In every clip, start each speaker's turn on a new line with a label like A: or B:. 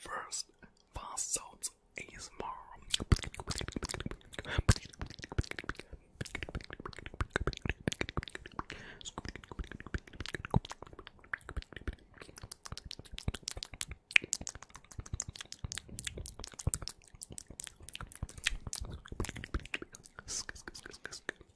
A: First, fast sounds ASMR.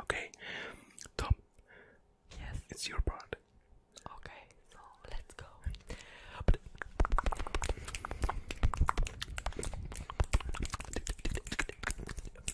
B: Okay, Tom. Yes. It's your part. Okay, so let's go.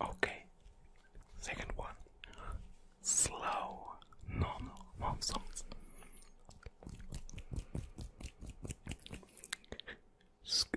C: Okay, second one slow, normal nonsense.
A: Sk,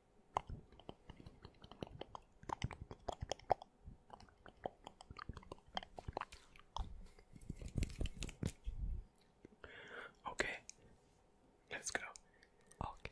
A: Okay, let's go. Okay.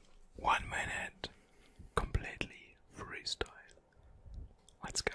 A: one minute, completely freestyle. Let's go.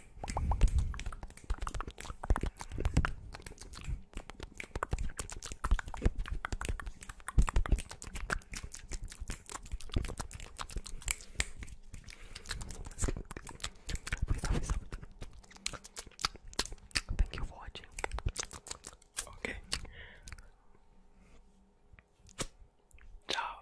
A: Thank you for watching. Okay. Ciao.